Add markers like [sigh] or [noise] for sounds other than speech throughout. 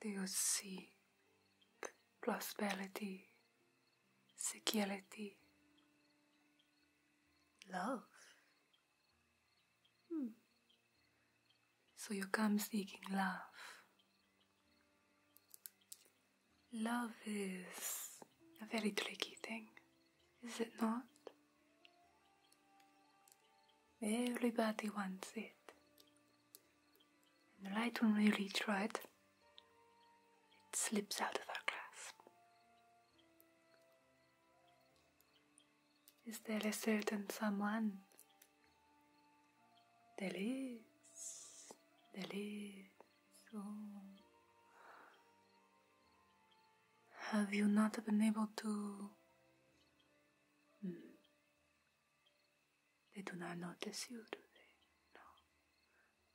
Do you see prosperity, security, love? Hmm. So you come seeking love. Love is a very tricky thing, is it not? Everybody wants it. And the light when we reach right, it slips out of our grasp. Is there a certain someone? There is. There is. Oh. Have you not been able to Mm. They do not notice you do they? No.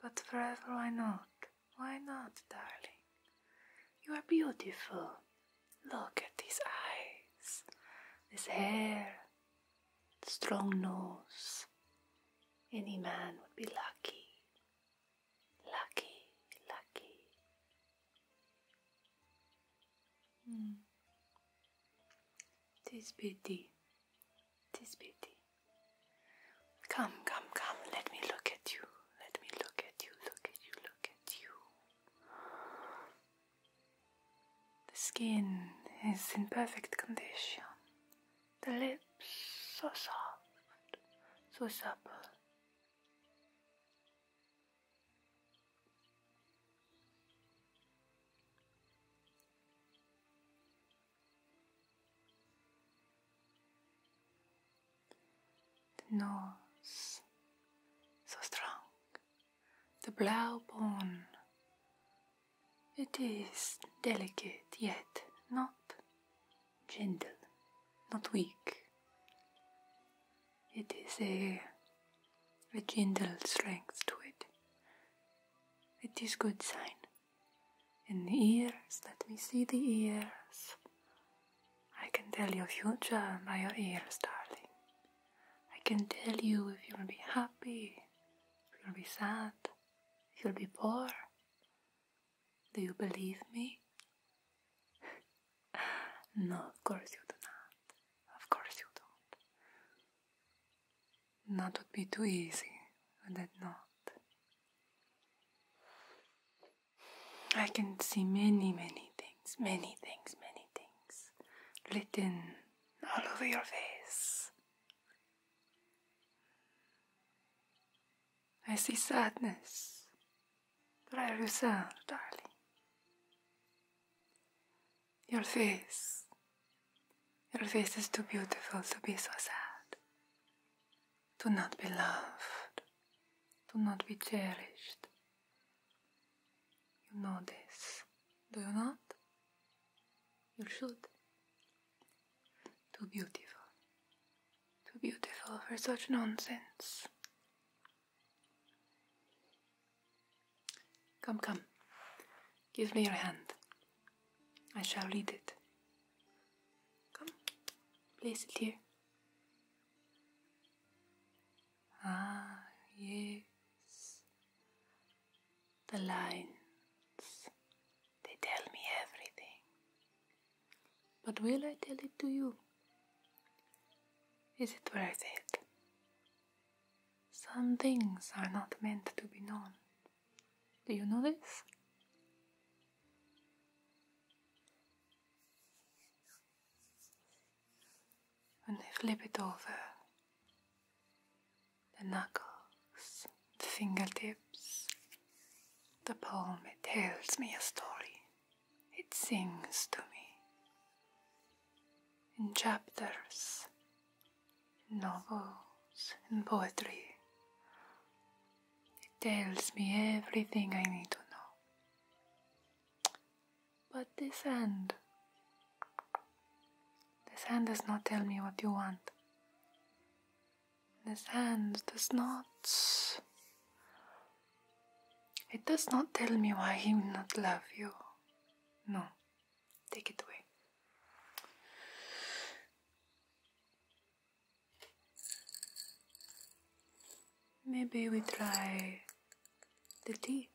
But forever, why not? Why not, darling? You are beautiful. Look at these eyes, this hair, strong nose. Any man would be lucky. Lucky, lucky. Mm. Tis Come, come, come, let me look at you, let me look at you, look at you, look at you. The skin is in perfect condition, the lips so soft, so supple. The nose, so strong, the brow bone. It is delicate, yet not gentle, not weak. It is a, a strength to it. It is good sign. In the ears, let me see the ears. I can tell your future by your ears, darling. I can tell you if you'll be happy, if you'll be sad, if you'll be poor. Do you believe me? no, of course you do not. Of course you don't. That would be too easy, would it not? I can see many, many things, many things, many things written all over your face. I see sadness but I returned, darling. Your face, your face is too beautiful to be so sad. Do not be loved, do not be cherished. You know this, do you not? You should. Too beautiful, too beautiful for such nonsense. Come, come. Give me your hand. I shall read it. Come, place it here. Ah, yes. The lines. They tell me everything. But will I tell it to you? Is it worth it? Some things are not meant to be known. Do you know this? When I flip it over, the knuckles, the fingertips, the palm, it tells me a story. It sings to me in chapters, in novels, in poetry. It tells me everything I need to know. But this hand, this hand does not tell me what you want. This hand does not it does not tell me why he will not love you. No, take it away. Maybe we try the tea,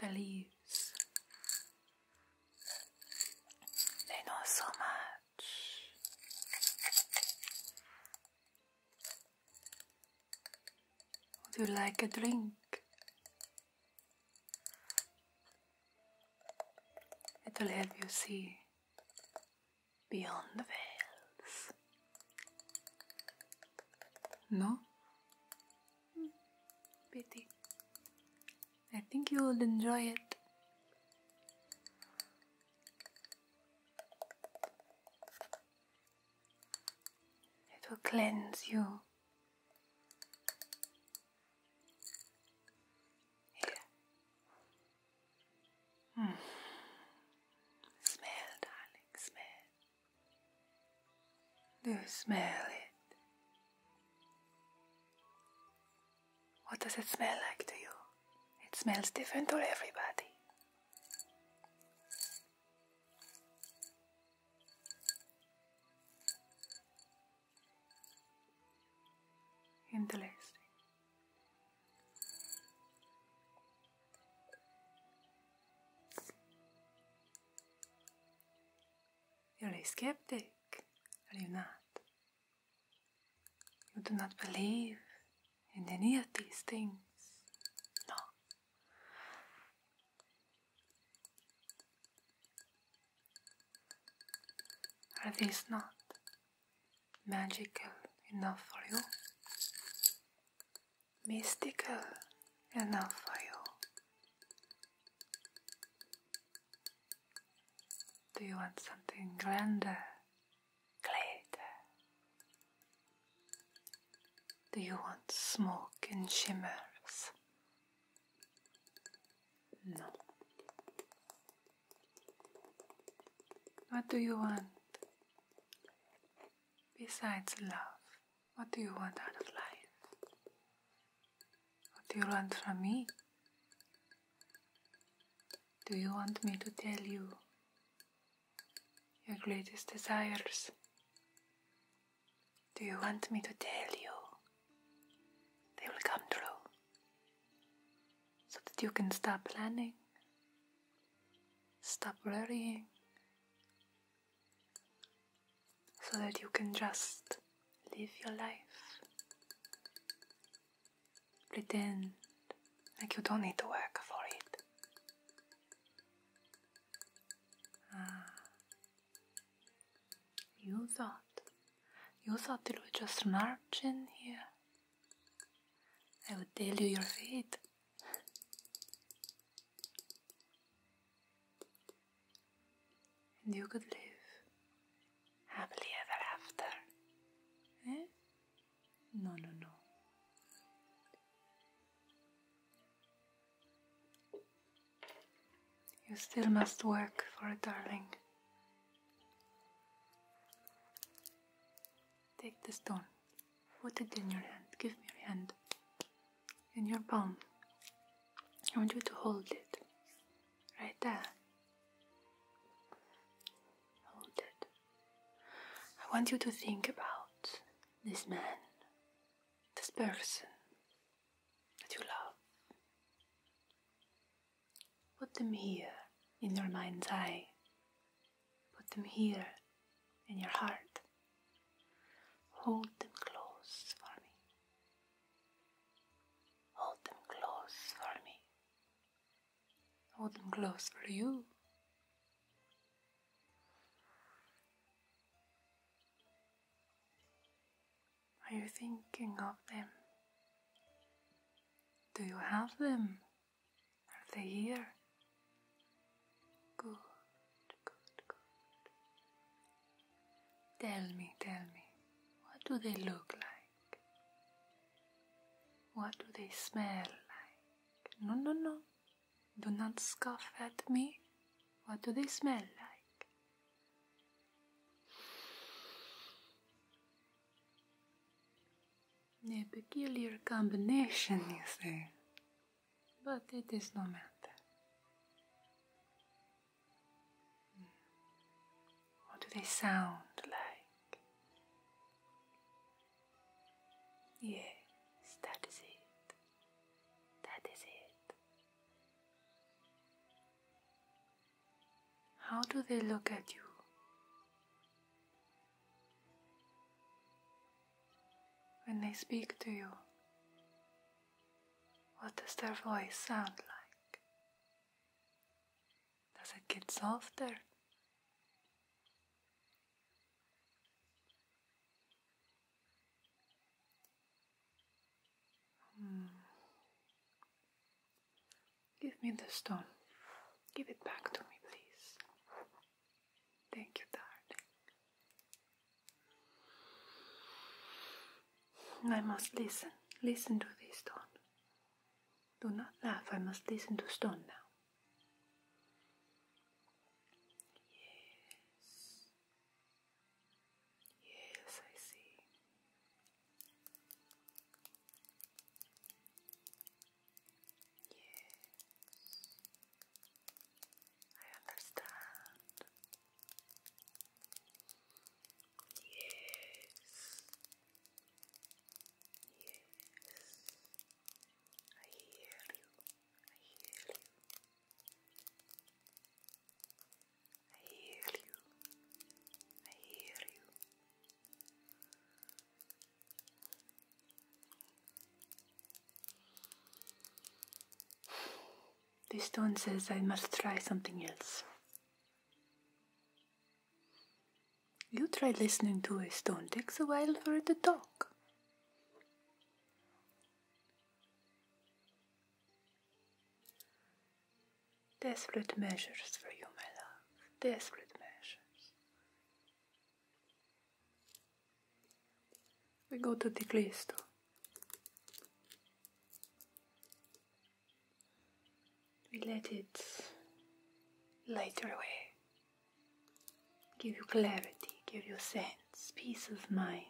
the leaves. They know so much. Would you like a drink? It'll help you see beyond the veils. No? Mm, pity. I think you will enjoy it. It will cleanse you. Mm. Smell, darling, smell. Do you smell it? What does it smell like to you? It smells different to everybody. Interesting. You're a skeptic, are you not? You do not believe in any of these things. No. Are these not magical enough for you? Mystical enough for you? Do you want something grander glitter. Do you want smoke and shimmers? No. What do you want? Besides love, what do you want out of life? What do you want from me? Do you want me to tell you your greatest desires. Do you want me to tell you? They will come true. So that you can stop planning, stop worrying, so that you can just live your life. Pretend like you don't need to work for it. Ah. You thought, you thought it would just march in here. I would tell you your fate. [laughs] and you could live happily ever after. Eh? No, no, no. You still must work for it, darling. Take the stone, put it in your hand, give me your hand, in your palm. I want you to hold it, right there. Hold it. I want you to think about this man, this person that you love. Put them here in your mind's eye. Put them here in your heart. Hold them close for me. Hold them close for me. Holding close for you. Are you thinking of them? Do you have them? Are they here? Good, good, good. Tell me, tell me, what do they look like? What do they smell like? No, no, no. Do not scoff at me. What do they smell like? A peculiar combination, you say. But it is no matter. What do they sound like? Yes, that is it. That is it. How do they look at you? When they speak to you, what does their voice sound like? Does it get softer? Hmm. Give me the stone. Give it back to me, please. Thank you, darling. I must listen. Listen to this stone. Do not laugh. I must listen to stone now. Yes. Yes, I see. Yes. I understand. Yes. Yes. I hear you. I hear you. I hear you. I hear you. This stone says I must try something else. You try listening to a stone. Takes a while for it to talk. Desperate measures for you, my love. Desperate measures. We go to the Ticlisto. We let it light our way give you clarity, give you sense, peace of mind.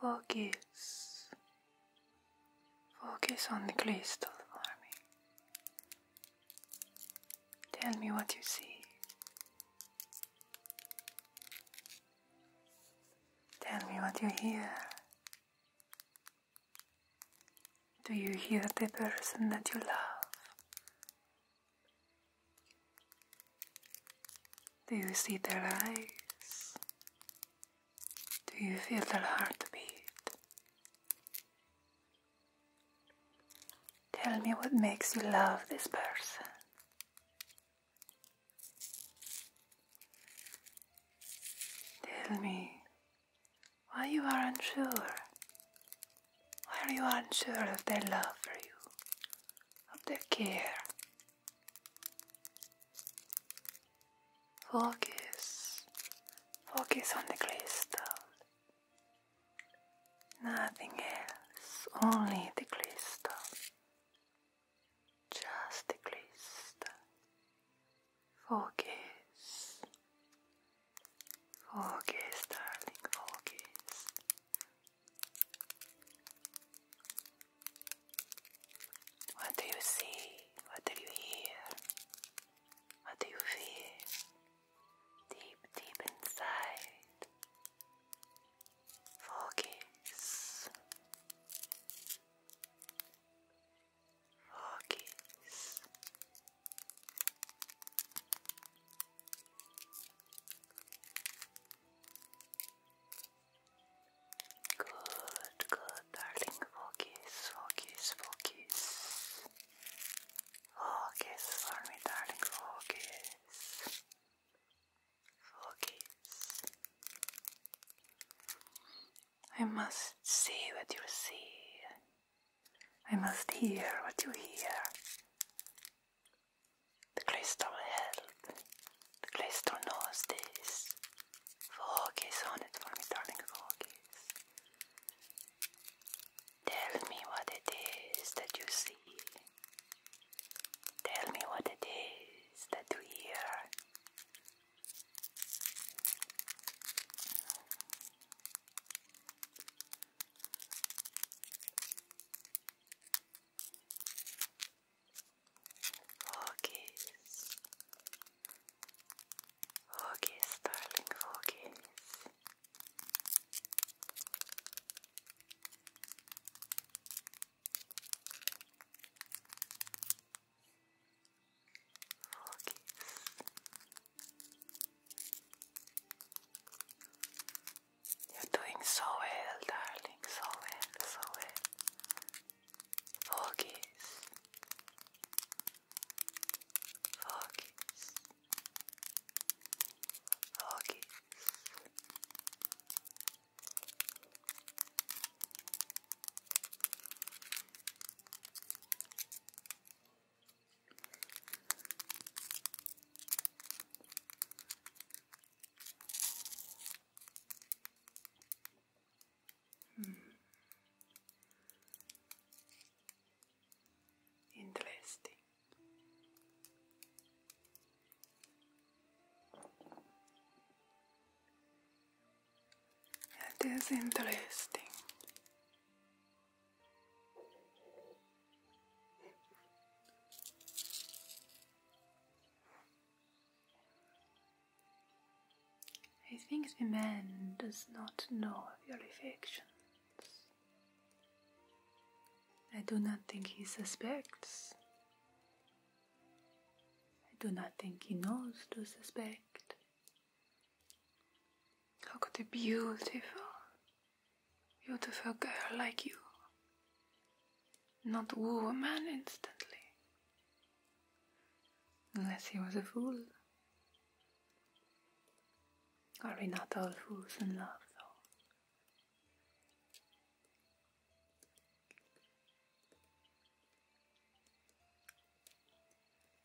Focus. Focus on the crystal for me. Tell me what you see. Tell me what you hear. Do you hear the person that you love? Do you see their eyes? Do you feel their heartbeat? Tell me what makes you love this person. Tell me why you are unsure. Why are you unsure of their love for you, of their care? Focus, focus on the crystal. Nothing else, only the crystal. Just the crystal. Focus. Focus, darling, focus. What do you see? What do you hear? What do you feel? Deep, deep inside. Focus. Focus. Good, good, darling. Focus, focus, focus. Focus for me, darling. Focus. Focus. I must see what you see. I must hear what you hear. The crystal help. The crystal knows this. Focus on it for me, darling. Focus. Tell me what it is that you see. Tell me what it is that you hear. Focus. Focus, darling, focus. You're doing so well, darling, so well, so well. Focus. Focus. Okay. Hmm. Interesting. That is interesting. I think the man does not know your affections. I do not think he suspects. I do not think he knows to suspect. How could a beautiful, beautiful girl like you not woo a man instantly? Unless he was a fool. Are we not all fools in love, though?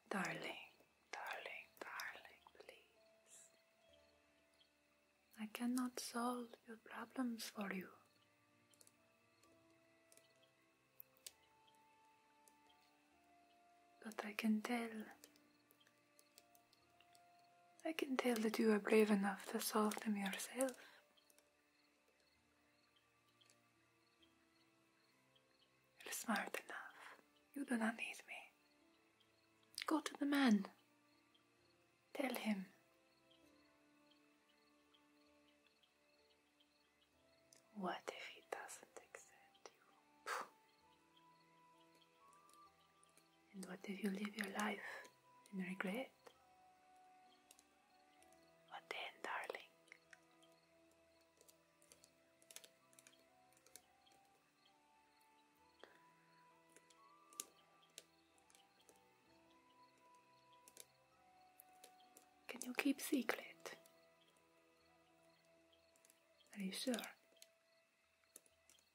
Darling, darling, darling, please. I cannot solve your problems for you. But I can tell I can tell that you are brave enough to solve them yourself. You're smart enough. You do not need me. Go to the man. Tell him. What if he doesn't accept you? And what if you live your life in regret? What then, darling? Can you keep secret? Are you sure?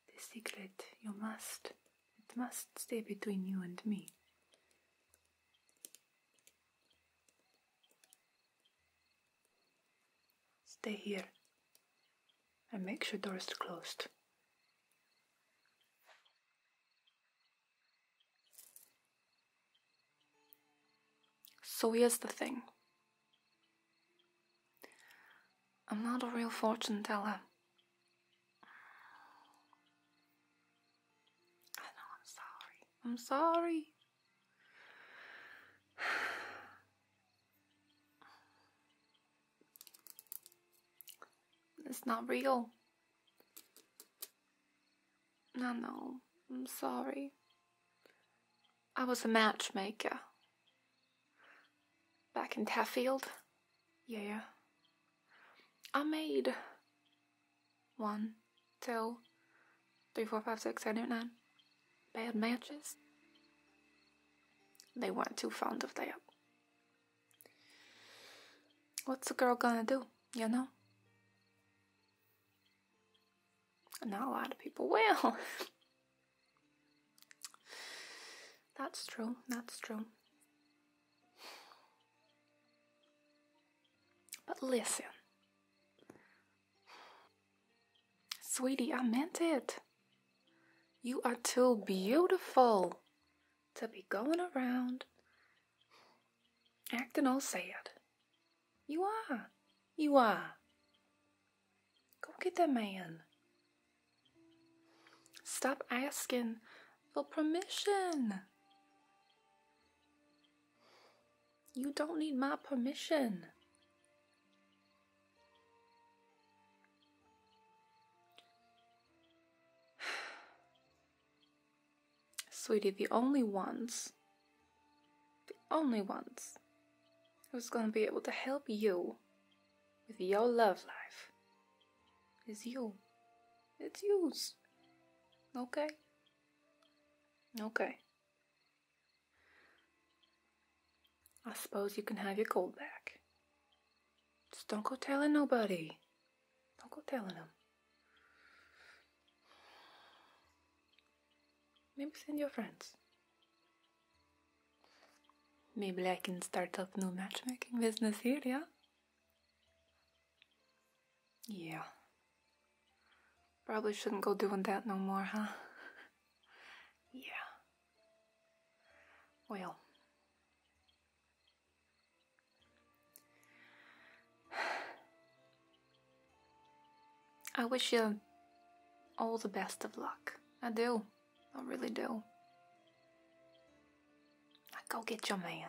The secret, you must, it must stay between you and me. Stay here and make sure doors is closed. So here's the thing. I'm not a real fortune teller. I know I'm sorry. I'm sorry. [sighs] It's not real. No, no. I'm sorry. I was a matchmaker back in Taffield. Yeah. I made one, two, three, four, five, six, seven, eight, nine bad matches. They weren't too fond of that. What's a girl gonna do, you know? Not a lot of people will. [laughs] That's true, that's true. But listen. Sweetie, I meant it. You are too beautiful to be going around acting all sad. You are. You are. Go get that man. Stop asking for permission. You don't need my permission. [sighs] Sweetie, the only ones, the only ones who's gonna be able to help you with your love life. It's you. It's yous, Okay? Okay. I suppose you can have your gold back. Just don't go telling nobody. Don't go telling them. Maybe send your friends. Maybe I can start up new matchmaking business here, yeah? Yeah. Probably shouldn't go doing that no more, huh? [laughs] yeah. Well. [sighs] I wish you all the best of luck. I do. I really do. Now go get your man.